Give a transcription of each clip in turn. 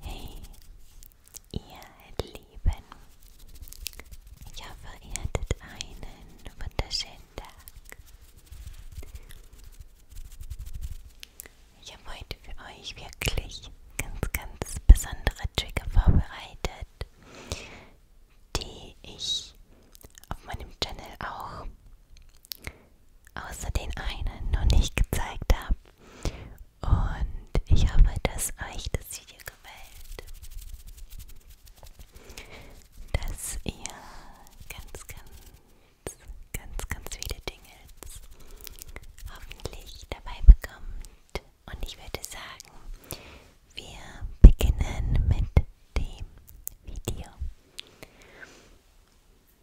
Hey, ihr Lieben, ich hoffe, ihr hattet einen wunderschönen Tag. Ich habe heute für euch wirklich ganz, ganz besondere Trigger vorbereitet, die ich auf meinem Channel auch außer den einen noch nicht gezeigt habe. Und ich hoffe, dass euch das Video gefällt. Dass ihr ganz, ganz, ganz, ganz viele Dingels hoffentlich dabei bekommt. Und ich würde sagen, wir beginnen mit dem Video.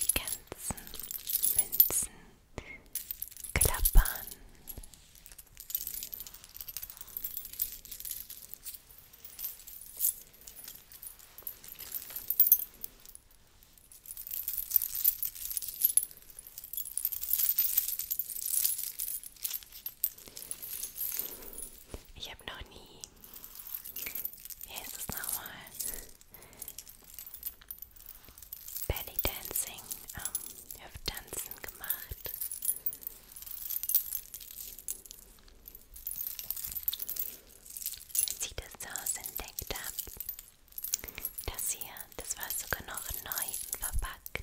Die ganzen Münzen klappern. Ich habe noch nie. Wie heißt das nochmal? Belly Dancing, ähm, Hüfttanzen gemacht als ich das zu Hause entdeckt habe. Das hier, das war sogar noch neu und verpackt.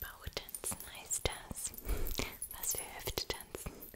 Bauchtanzen heißt das. Was für Hüfttanzen. Okay.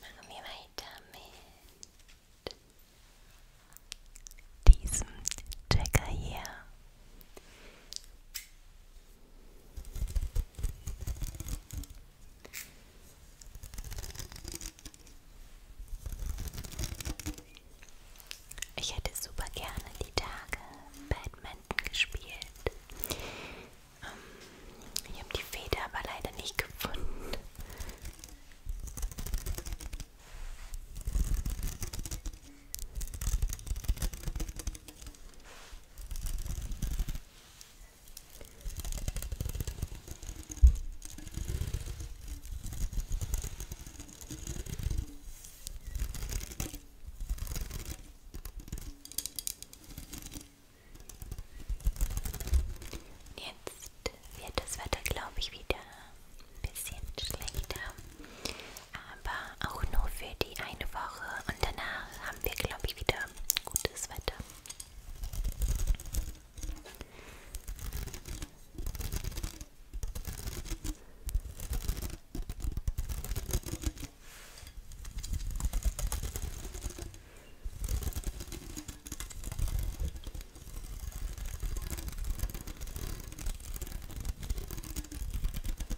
Machen wir weiter mit diesem Checker hier. Ich hätte super gerne die Tage Badminton gespielt. Ähm, ich habe die Feder aber leider nicht gefunden. Jetzt wird das Wetter, glaube ich, wieder ein bisschen schlechter aber auch nur für die eine Woche und danach haben wir, glaube ich, wieder gutes Wetter.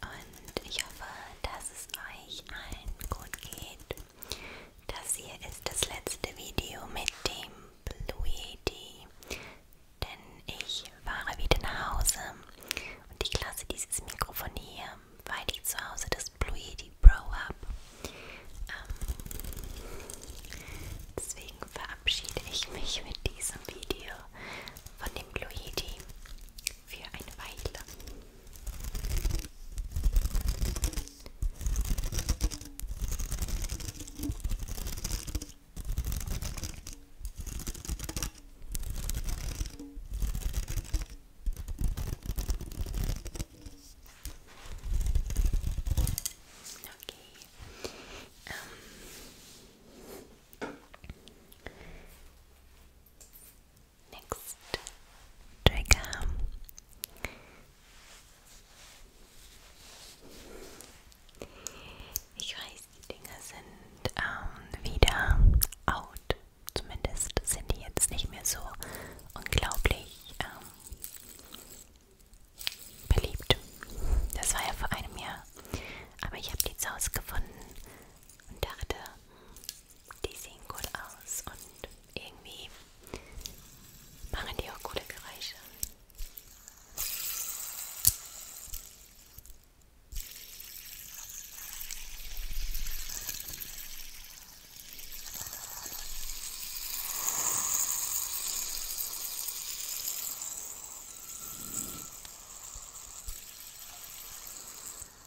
Und ich hoffe, dass es euch allen gut geht. Das hier ist das letzte Video mit dem Blue Yeti. Denn ich fahre wieder nach Hause und ich lasse dieses Mikrofon hier, weil ich zu Hause das Blue Yeti Pro habe. Ähm, deswegen verabschiede ich mich mit diesem Video von dem Blue Yeti für eine Weile. Okay. Ähm. Next trigger. Ich weiß, die Dinger sind ähm, wieder out. Zumindest sind die jetzt nicht mehr so unglaublich ähm, beliebt. Das war ja vor einem Jahr. Aber ich habe die zu Hause gefunden und dachte, die sehen gut aus und irgendwie machen die auch coole Geräusche.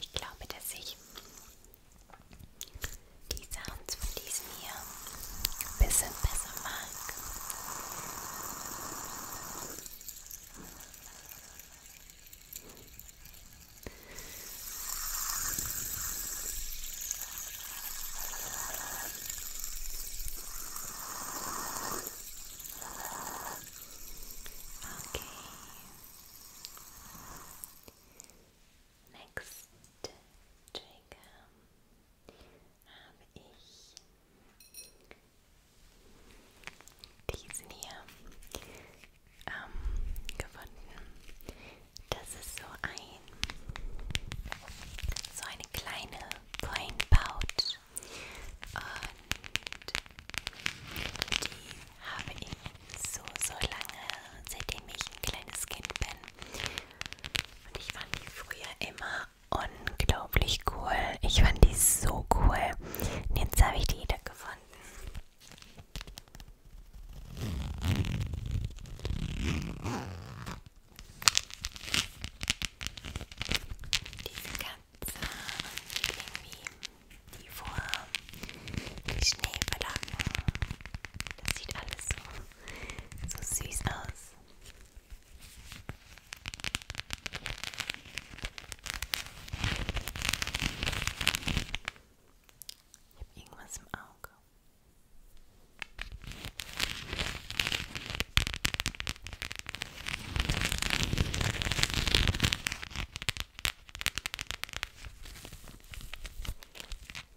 Ich glaube, dass ich Die Sounds von diesem hier ein bisschen Okay. Next Trigger habe ich diesen hier ähm, gefunden. Das ist so ein so eine kleine Coin Pouch und die habe ich so so lange, seitdem ich ein kleines Kind bin, und ich fand die früher immer unglaublich cool. Ich fand die so cool. Und jetzt habe ich die wieder gefunden. Diese Katze und irgendwie die vor die Schnee verlagen. Das sieht alles so so süß aus. Ich habe irgendwas im Auge.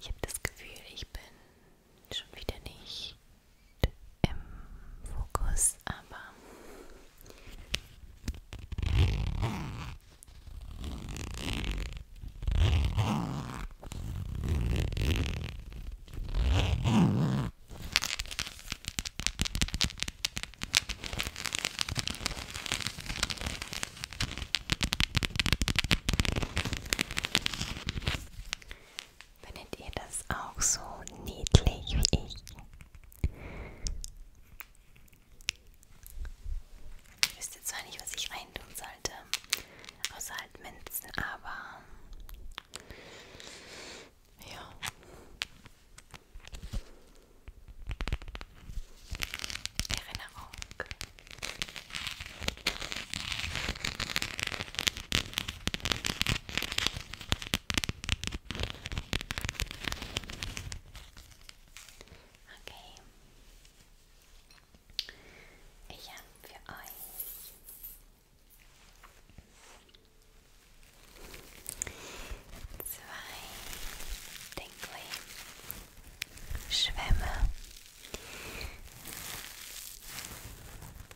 Ich habe das Gefühl, ich bin schon wieder nicht im Fokus, aber Findet ihr das auch so niedlich wie ich? Ich wüsste zwar nicht, was ich reintun sollte, außer halt Minzen, aber ja. Erinnerung. Okay. Ich habe für euch zwei Dingley Schwämme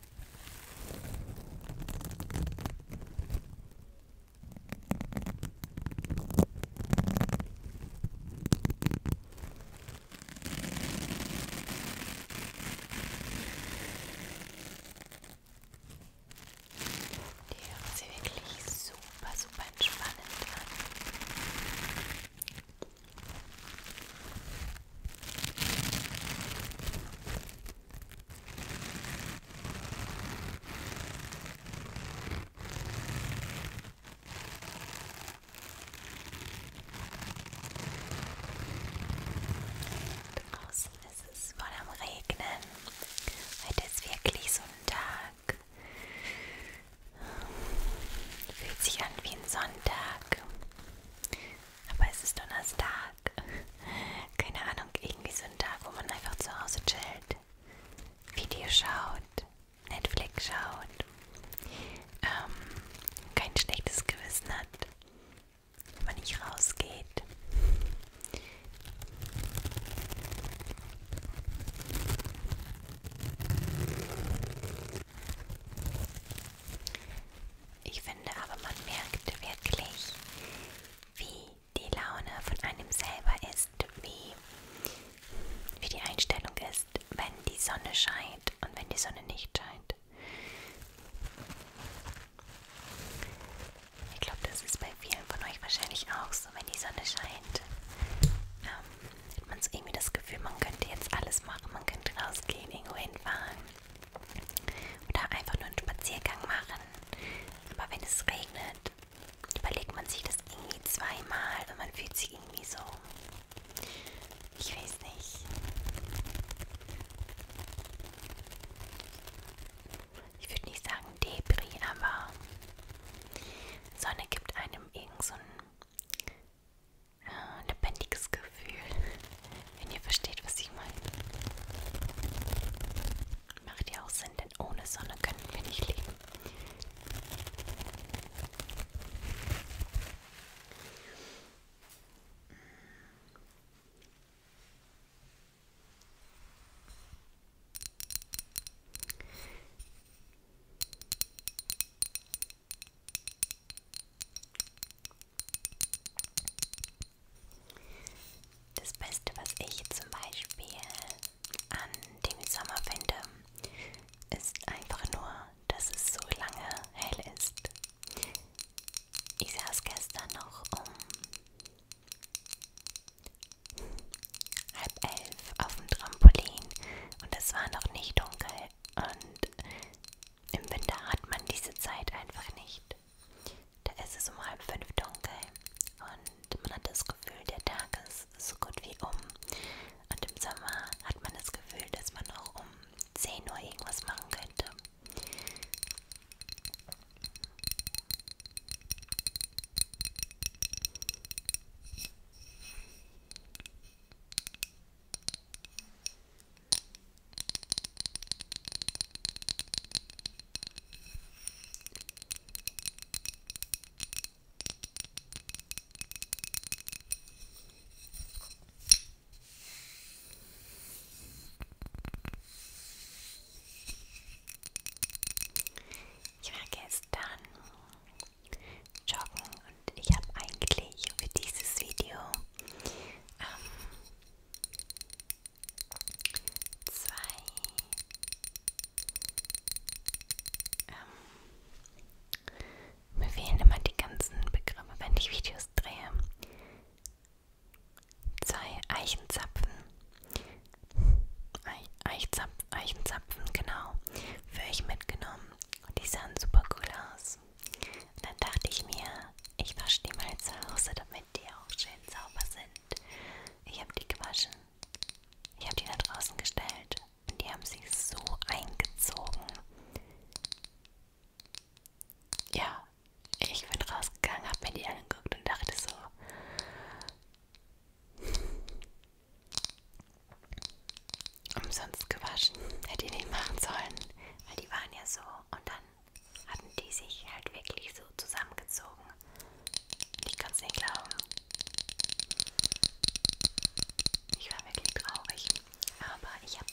Die hören sie wirklich super, super entspannend an. Draußen ist es voll am Regnen. Heute ist wirklich so ein Tag. Fühlt sich an wie ein Sonntag. Aber es ist Donnerstag. Keine Ahnung, irgendwie so ein Tag, wo man einfach zu Hause chillt, Video schaut, Netflix schaut, ähm, kein schlechtes Gewissen hat, wenn man nicht rausgeht. Ich finde aber, man merkt wirklich, wie die Laune von einem selber ist, wie, wie die Einstellung ist, wenn die Sonne scheint und wenn die Sonne nicht scheint. Ich glaube, das ist bei vielen von euch wahrscheinlich auch so, wenn die Sonne scheint. Ähm, hat man so irgendwie das Gefühl, man könnte jetzt alles machen, man könnte rausgehen, irgendwo hinfahren. Oder einfach nur einen Spaziergang machen. Aber wenn es regnet, überlegt man sich das irgendwie zweimal und man fühlt sich irgendwie so. Ich weiß nicht. Ich würde nicht sagen Debris, aber Sonne gibt einem irgend so ein äh, lebendiges Gefühl, wenn ihr versteht, was ich meine. Macht ja auch Sinn, denn ohne Sonne können wir nicht leben. Das Beste, was ich zum Beispiel an dem Sommer finde, ist einfach nur, dass es so lange hell ist. Ich saß gestern noch um halb elf auf dem Trampolin und es war noch nicht dunkel und im Winter hat man diese Zeit einfach nicht. Da ist es um halb fünf dunkel und man hat das Gefühl, der Tag ist so gut wie um. Und im Sommer hat man das Gefühl, dass man auch um 10 Uhr irgendwas machen könnte. Ich war gestern joggen und ich habe eigentlich für dieses Video ähm, zwei ähm, mir fehlen immer die ganzen Begriffe, wenn ich Videos drehe. Zwei Eichenzapfen. Eich, Eichenzapfen, Eichenzapfen, genau. Für euch mitgenommen. Und die sahen super cool aus aus. Und dann dachte ich mir, ich wasche die mal zu Hause, damit die auch schön sauber sind. Ich habe die gewaschen. Ich habe die da draußen gestellt. Und die haben sich so eingezogen. Ja, ich bin rausgegangen, habe mir die angeguckt und dachte so. Umsonst gewaschen. Hätte ich nicht machen sollen. Weil die waren ja so und dann hatten die sich halt wirklich so zusammengezogen. Ich kann es nicht glauben. Ich war wirklich traurig. Aber ich habe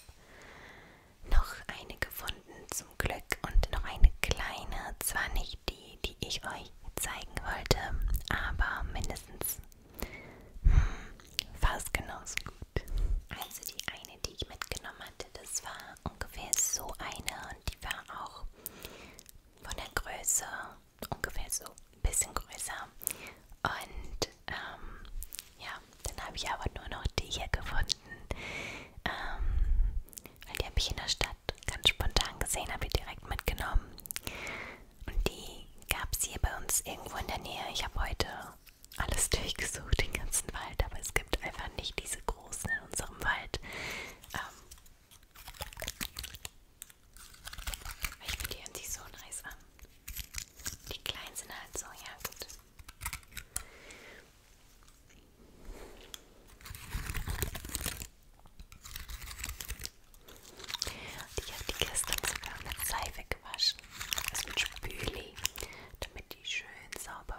noch eine gefunden zum Glück und noch eine kleine, zwar nicht die, die ich euch zeigen wollte, aber mindestens hm, fast genauso gut. Also die eine eine, die ich mitgenommen hatte, das war ungefähr so eine und die war auch von der Größe ungefähr so ein bisschen größer. Und ähm, ja, dann habe ich aber nur noch die hier gefunden, ähm, weil die habe ich in der Stadt ganz spontan gesehen, habe ich direkt mitgenommen. Und die gab es hier bei uns irgendwo in der Nähe. Ich habe heute alles durchgesucht, den ganzen Wald, aber es gibt einfach nicht diese großen in unserem Wald. Ähm ich finde die hören sich so nice an. Die kleinen sind halt so, ja gut. Und ich habe die gestern sogar mit Seife gewaschen, also mit Spüli, damit die schön sauber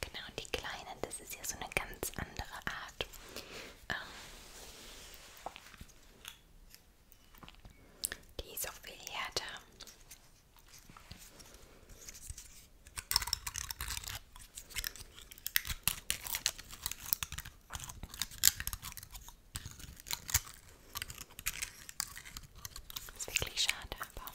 Genau, die kleinen, das ist ja so eine ganz andere Art. Ähm, die ist auch viel härter. Ist wirklich schade, aber.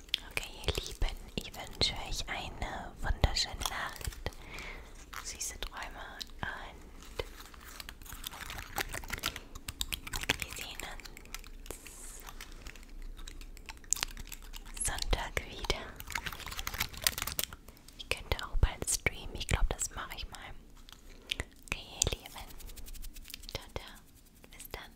Okay, ihr Lieben, ich wünsche euch eine wunderschöne Nacht, süße Träume und wir sehen uns Sonntag wieder. Ich könnte auch bald streamen, ich glaube, das mache ich mal. Okay, ihr Lieben, ciao, ciao, bis dann.